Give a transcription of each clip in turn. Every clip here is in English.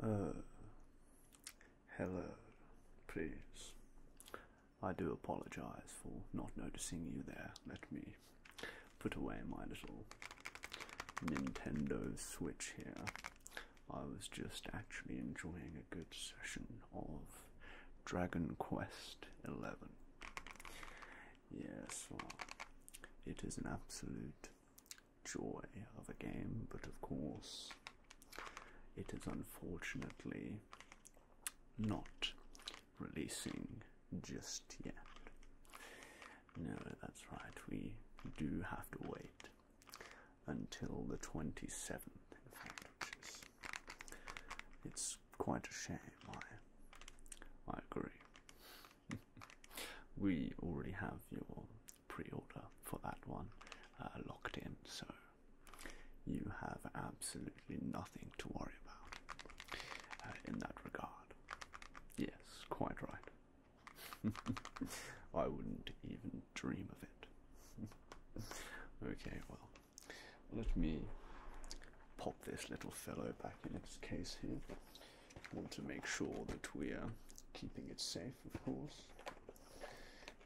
Uh, hello, please. I do apologize for not noticing you there. Let me put away my little Nintendo Switch here. I was just actually enjoying a good session of Dragon Quest Eleven. Yes, it is an absolute joy of a game, but of course, it is unfortunately not releasing just yet. No, that's right, we do have to wait until the 27th, in fact, which is it's quite a shame. I, I agree. we already have your pre-order for that one uh, locked in, so you have absolutely nothing to worry about uh, in that regard. Yes, quite right. I wouldn't even dream of it. okay, well, let me pop this little fellow back in its case here. Want to make sure that we are keeping it safe, of course.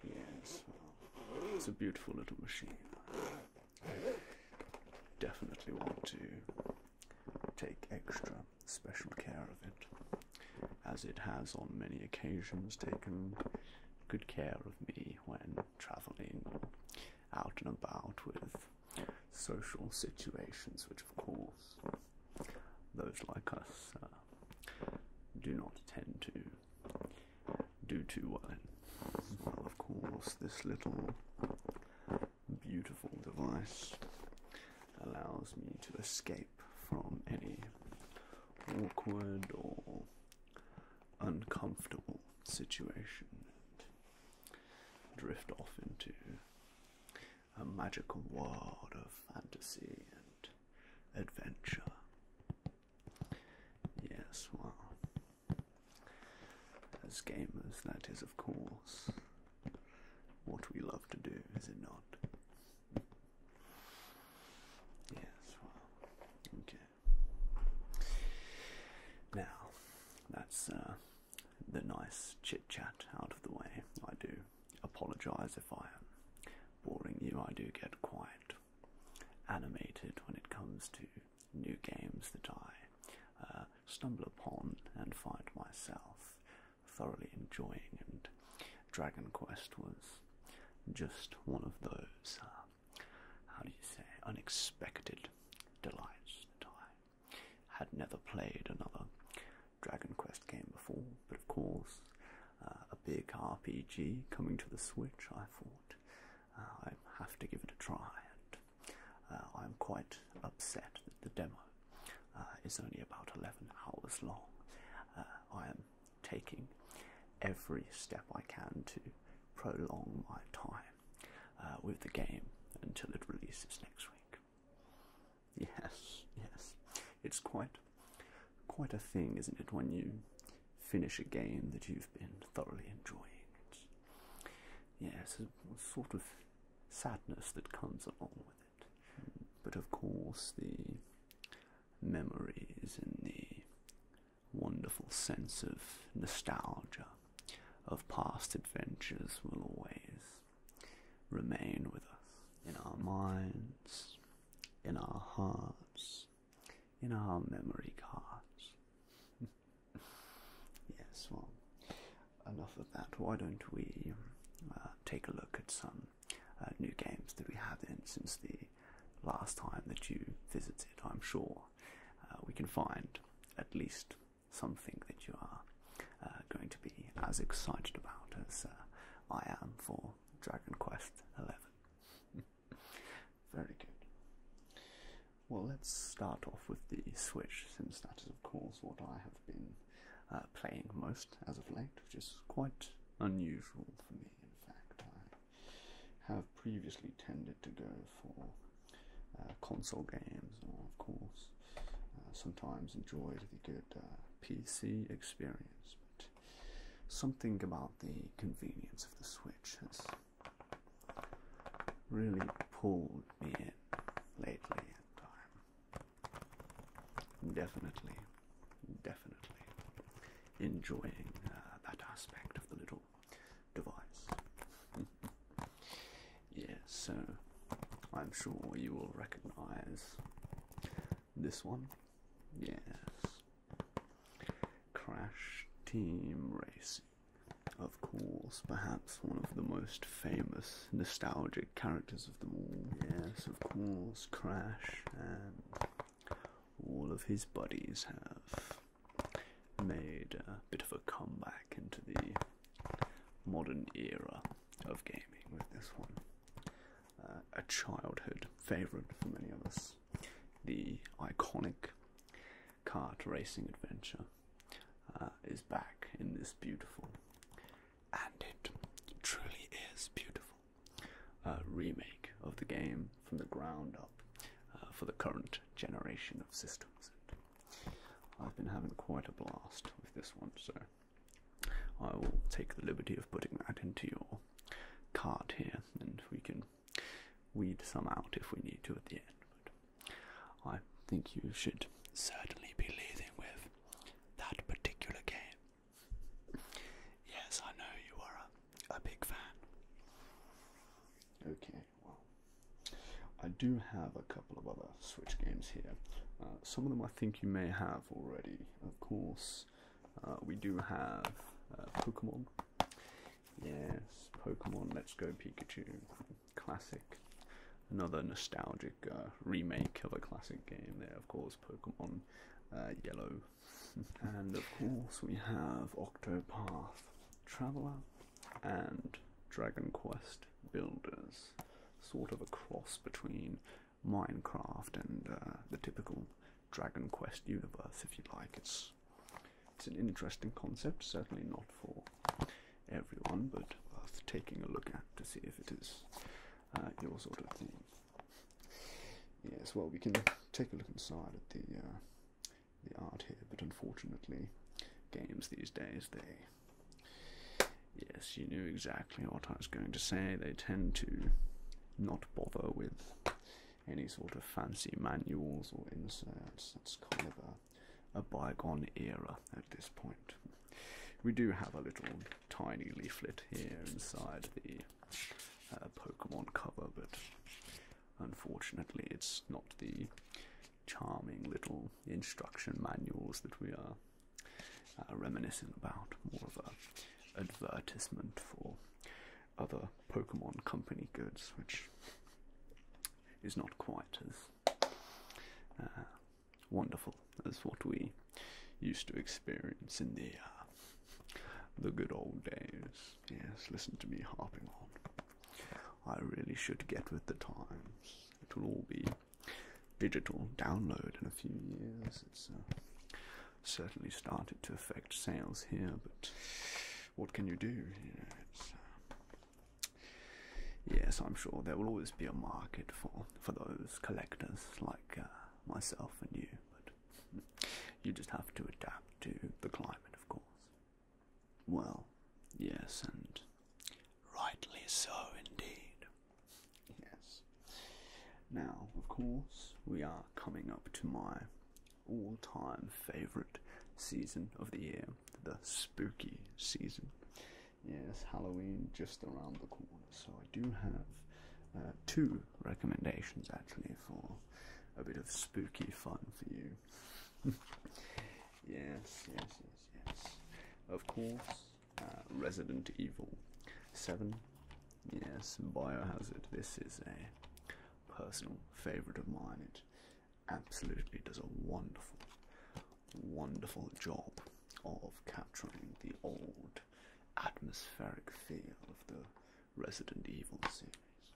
Yes, it's a beautiful little machine. definitely want to take extra special care of it, as it has on many occasions taken good care of me when travelling out and about with social situations, which, of course, those like us uh, do not tend to do too well Well, of course, this little beautiful device allows me to escape from any awkward or uncomfortable situation and drift off into a magical world of fantasy and adventure. Yes, well, as gamers, that is, of course, what we love to do, is it not? Yes, okay. Now, that's uh, the nice chit chat out of the way. I do apologize if I am boring you, I do get quite animated when it comes to new games that I uh, stumble upon and find myself thoroughly enjoying, and Dragon Quest was just one of those, uh, how do you say, unexpected delights that I had never played another Dragon Quest game before, but of course, uh, a big RPG coming to the Switch, I thought uh, I have to give it a try, and uh, I'm quite upset that the demo uh, is only about 11 hours long. Uh, I am taking every step I can to prolong my time uh, with the game until it releases next week. Yes, yes, it's quite, quite a thing, isn't it? When you finish a game that you've been thoroughly enjoying, yes, a sort of sadness that comes along with it. But of course, the memories and the wonderful sense of nostalgia of past adventures will always remain with us in our minds, in our hearts, in our memory cards. yes, well, enough of that. Why don't we uh, take a look at some uh, new games that we have in since the last time that you visited, I'm sure uh, we can find at least something that you are uh, going to be as excited about as I am for Dragon Quest XI. Very good. Well, let's start off with the Switch, since that is, of course, what I have been uh, playing most as of late, which is quite unusual for me. In fact, I have previously tended to go for uh, console games, or of course, uh, sometimes enjoyed the good uh, PC experience. But something about the convenience of the Switch has really pulled me in lately, and I'm Definitely, definitely enjoying uh, that aspect of the little device. yes, so I'm sure you will recognize this one. Yes. Crash Team Racing. Of course, perhaps one of the most famous nostalgic characters of them all. Yes, of course, Crash and all of his buddies have made a bit of a comeback into the modern era of gaming with this one. Uh, a childhood favorite for many of us. The iconic kart racing adventure uh, is back in this beautiful, and it truly is beautiful remake of the game from the ground up uh, for the current generation of systems. I've been having quite a blast with this one, so I will take the liberty of putting that into your card here, and we can weed some out if we need to at the end. But I think you should certainly be leaving with that particular game Yes, I know you are a, a big fan. Okay, well, I do have a couple of other Switch games here. Uh, some of them I think you may have already, of course. Uh, we do have uh, Pokemon. Yes, Pokemon Let's Go Pikachu. Classic. Another nostalgic uh, remake of a classic game there, of course. Pokemon uh, Yellow. and of course we have Octopath Traveler and Dragon Quest Builders. Sort of a cross between Minecraft and uh, the typical Dragon Quest universe, if you like. It's it's an interesting concept, certainly not for everyone, but worth taking a look at to see if it is uh, your sort of thing. Yes, well, we can take a look inside at the uh, the art here, but unfortunately, games these days they. Yes, you knew exactly what I was going to say. They tend to not bother with any sort of fancy manuals or inserts. That's kind of a bygone era at this point. We do have a little tiny leaflet here inside the uh, Pokemon cover, but unfortunately, it's not the charming little instruction manuals that we are uh, reminiscing about. More of an advertisement for other Pokemon company goods, which is not quite as uh, wonderful That's what we used to experience in the uh, the good old days. Yes, listen to me harping on. I really should get with the times. It will all be digital download in a few years. It's uh, certainly started to affect sales here, but what can you do? Uh, yes, I'm sure there will always be a market for for those collectors like myself and you, but you just have to adapt to the climate, of course. Well, yes, and rightly so indeed. Yes. Now, of course, we are coming up to my all time favourite season of the year the spooky season. Yes, Halloween just around the corner. So I do have uh, two recommendations actually for a bit of spooky fun for you. yes, yes, yes, yes. Of course, uh, Resident Evil 7. Yes, Biohazard. This is a personal favourite of mine. It absolutely does a wonderful, wonderful job of capturing the old atmospheric feel of the Resident Evil series.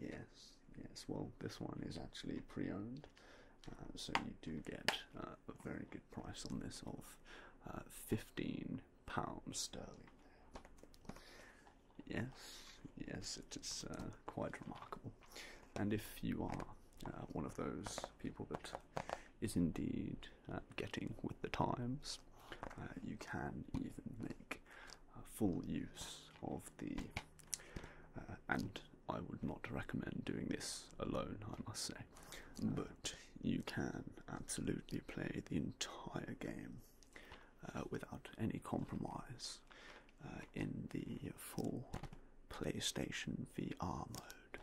Yes, yes, well, this one is actually pre owned, uh, so you do get uh, a very good price on this of uh, £15 sterling. Yes, yes, it is quite remarkable. And if you are one of those people that is indeed uh, getting with the times, uh, you can even make full use of the. Uh, and I would not recommend doing this alone, I must say, but you can absolutely play the entire game without any compromise in the full PlayStation VR mode.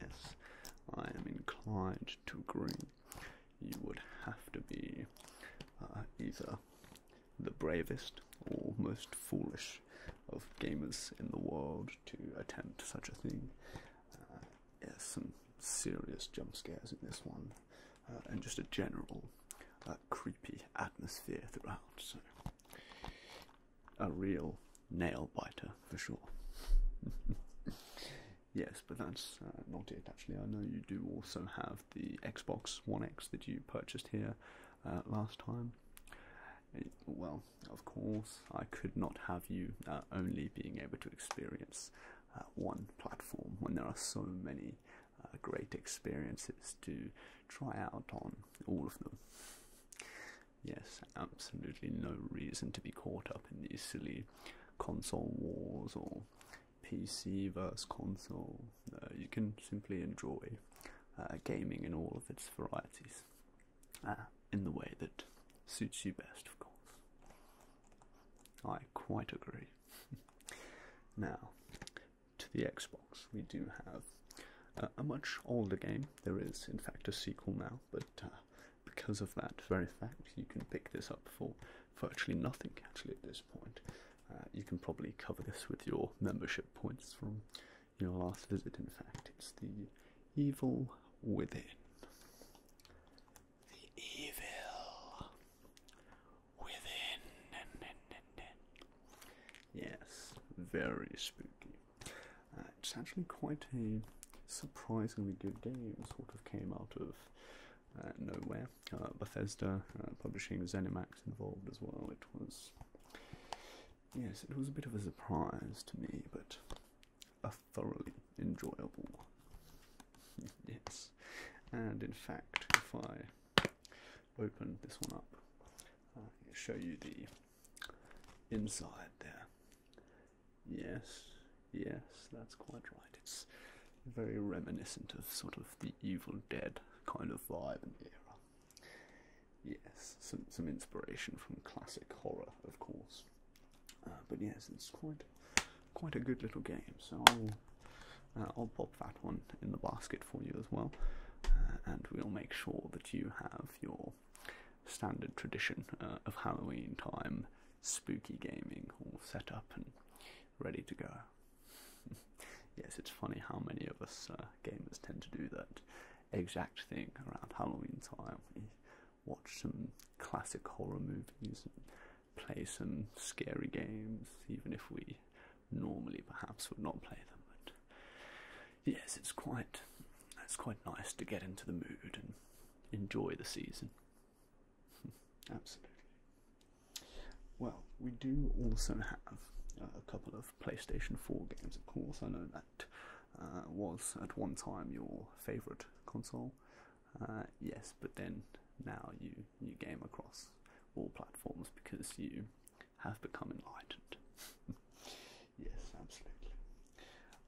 Yes, I am inclined to agree. You would have to be uh, either the bravest or most foolish of gamers in the world to attempt such a thing. Uh, yes, some serious jump scares in this one, uh, and just a general uh, creepy atmosphere throughout a real nail biter for sure. yes, but that's uh, not it actually. I know you do also have the Xbox One X that you purchased here uh, last time. Eh, well, of course, I could not have you uh, only being able to experience one platform when there are so many great experiences to try out on all of them. Yes, absolutely no reason to be caught up in these silly console wars or PC versus console. you can simply enjoy uh, gaming in all of its varieties uh, in the way that suits you best, of course. I quite agree. now, to the Xbox, we do have uh, a much older game. There is, in fact, a sequel now, but uh, because of that very fact, you can pick this up for virtually nothing actually at this point. Uh, you can probably cover this with your membership points from your last visit. In fact, it's the Evil Within. The Evil Within. Yes, very spooky. Uh, it's actually quite a surprisingly good game, sort of came out of uh, nowhere. Uh, Bethesda publishing Zenimax involved as well. It was, yes, it was a bit of a surprise to me, but a thoroughly enjoyable. yes, and in fact, if I open this one up, uh, show you the inside there. Yes, yes, that's quite right. It's very reminiscent of sort of the Evil Dead kind of vibe and era. Yes, some some inspiration from classic horror, of course. Uh, but yes, it's quite quite a good little game. So I'll uh, I'll pop that one in the basket for you as well, uh, and we'll make sure that you have your standard tradition uh, of Halloween time, spooky gaming all set up and ready to go. yes, it's funny how many of us uh, gamers tend to do that exact thing around Halloween time. We watch some classic horror movies and play some scary games, even if we normally perhaps would not play them yes, it's quite it's quite nice to get into the mood and enjoy the season. Absolutely. Well, we do also have uh, a couple of PlayStation 4 games, of course. I know that uh, was at one time your favourite console. Uh, yes, but then now you you game across all platforms because you have become enlightened. yes, absolutely.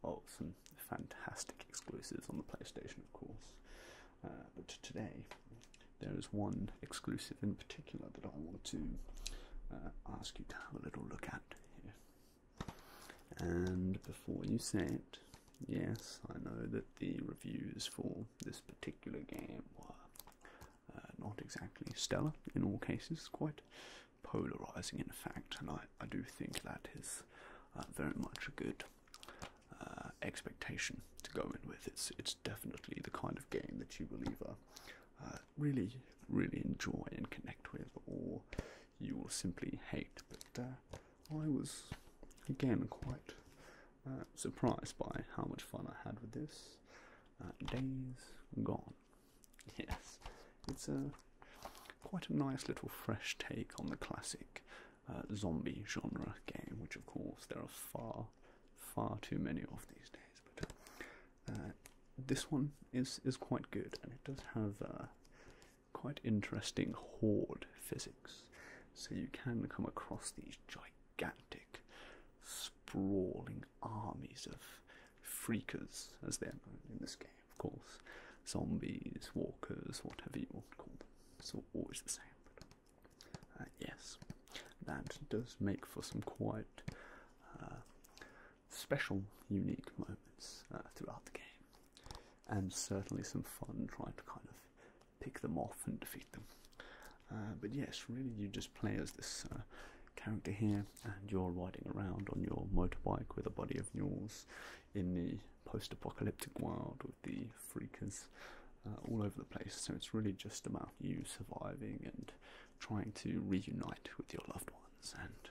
Oh, some fantastic exclusives on the PlayStation, of course. Uh, but today, there is one exclusive in particular that I want to uh, ask you to have a little look at And before you say it, yes, I know that the reviews for this particular game were uh, not exactly stellar in all cases, quite polarizing, in fact, and I, I do think that is uh, very much a good uh, expectation to go in with. It's, it's definitely the kind of game that you will either uh, really, really enjoy and connect with, or you will simply hate. But I was, again, quite surprised by how much fun I had with this. days gone. Yes, it's a quite a nice little fresh take on the classic uh, zombie genre game, which of course there are far, far too many of these days. But uh, this one is is quite good, and it does have uh, quite interesting horde physics. So you can come across these gigantic, sprawling armies of freakers, as they are known in this game, of course. Zombies, walkers, whatever you want to call them. It's always the same. Uh, yes, that does make for some quite uh, special, unique moments uh, throughout the game. And certainly some fun trying to kind of pick them off and defeat them. but yes, really, you just play as this character here and you're riding around on your motorbike with a body of yours in the post apocalyptic world with the freakers uh, all over the place. So it's really just about you surviving and trying to reunite with your loved ones. And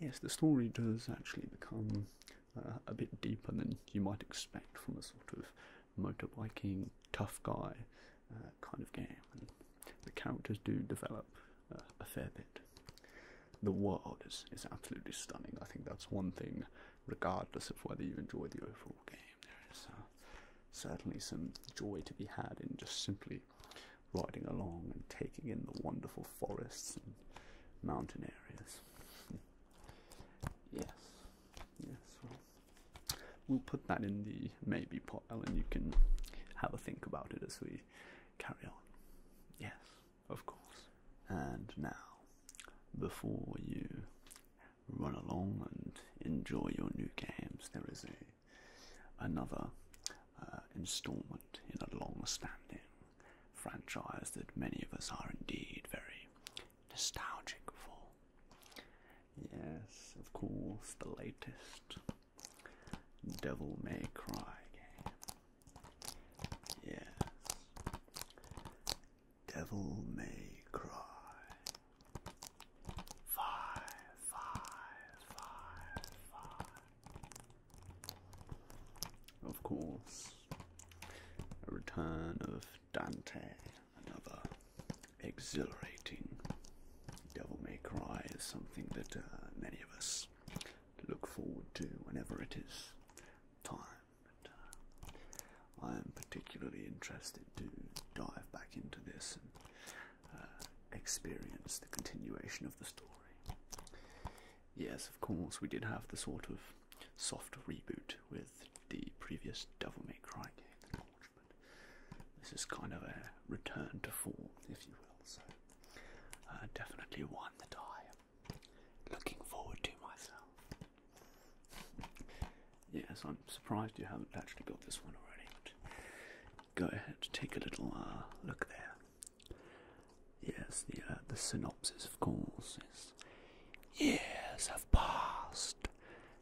yes, the story does actually become uh, a bit deeper than you might expect from a sort of motorbiking tough guy. Uh, kind of game, the characters do develop a fair bit. The world is, is absolutely stunning. I think that's one thing, regardless of whether you enjoy the overall game. There is uh, certainly some joy to be had in just simply riding along and taking in the wonderful forests and mountain areas. yes, yes, we'll put that in the maybe pile and you can have a think about it as we carry on. Yes, of course. And now, before you run along and enjoy your new games, there is a another uh, installment in a long-standing franchise that many of us are indeed very nostalgic for. Yes, of course, the latest Devil May Cry game. Devil May Cry. Five, five, five, five. Of course, a return of Dante, another exhilarating Devil May Cry is something that uh, many of us look forward to whenever it is time. Uh, I am particularly interested to dive back into this and uh, experience the continuation of the story. Yes, of course, we did have the sort of soft reboot with the previous Devil May Cry game, this is kind of a return to form, if you will. So. Uh, definitely one that die. looking forward to myself. Yes, I'm surprised you haven't actually got this one already. go ahead, take a little uh, look there. Yes, the uh, the synopsis, of course, is years have passed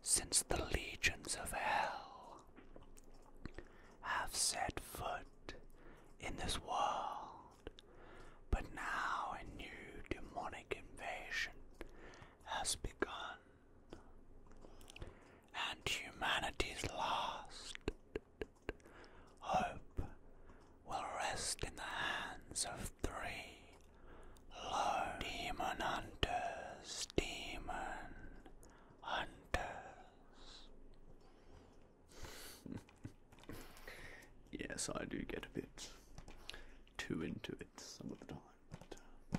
since the legions of hell have set foot in this world, but now a new demonic invasion has begun, and humanity's last hope will rest in the hands of three lone demon hunters, demon hunters. yes, I do get a bit too into it some of the time. Uh,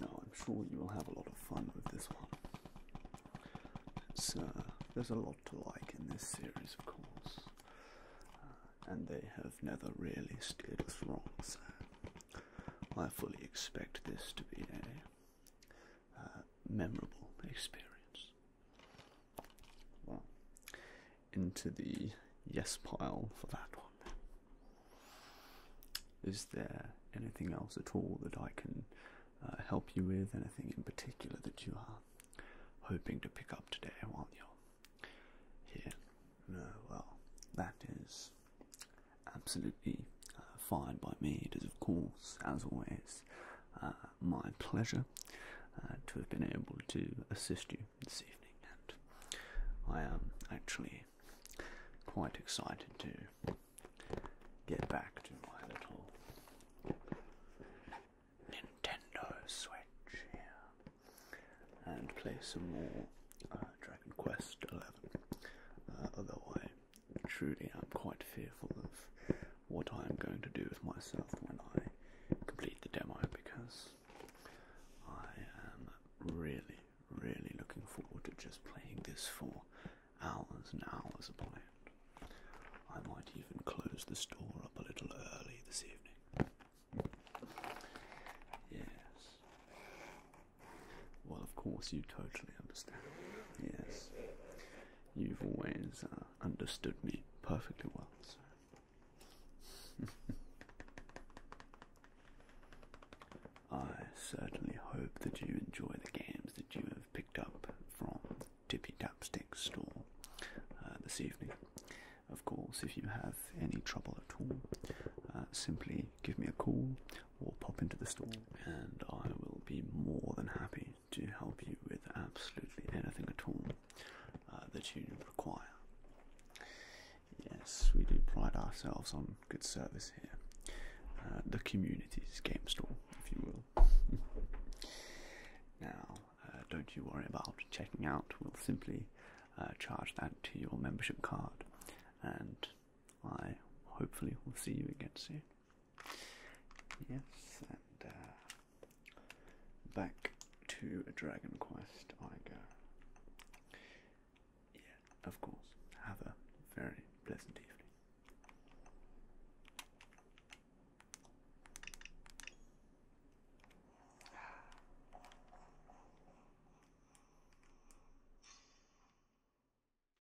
now I'm sure you will have a lot of fun with this one. It's, uh, there's a lot to like in this series, of course, uh, and they have never really steered us wrong, so I fully expect this to be a uh, memorable experience. Well, into the yes pile for that one. Is there anything else at all that I can uh, help you with? Anything in particular that you are hoping to pick up today while you're here? No, well, that is absolutely uh, fired by me. It is, of course, as always, uh, my pleasure uh, to have been able to assist you this evening, and I am actually quite excited to get back to my little Nintendo Switch here and play some more Dragon Quest Eleven. Uh, truly I'm quite fearful of what I'm going to do with myself when I complete the demo because I am really, really looking forward to just playing this for hours and hours upon it. I might even close the store up a little early this evening. Yes. Well, of course, you totally understand. Yes. You've always uh, understood me perfectly well, I certainly hope that you enjoy the games that you have picked up from Tippy Tapstick store uh, this evening. Of course, if you have any trouble at all, uh, simply give me a call Will pop into the store, and I will be more than happy to help you with absolutely anything at all uh, that you require. Yes, we do pride ourselves on good service here. Uh, the community's game store, if you will. now, uh, don't you worry about checking out. We'll simply uh, charge that to your membership card, and I hopefully will see you again soon. Yes, and uh, back to a Dragon Quest I go. Yeah, of course. Have a very pleasant evening.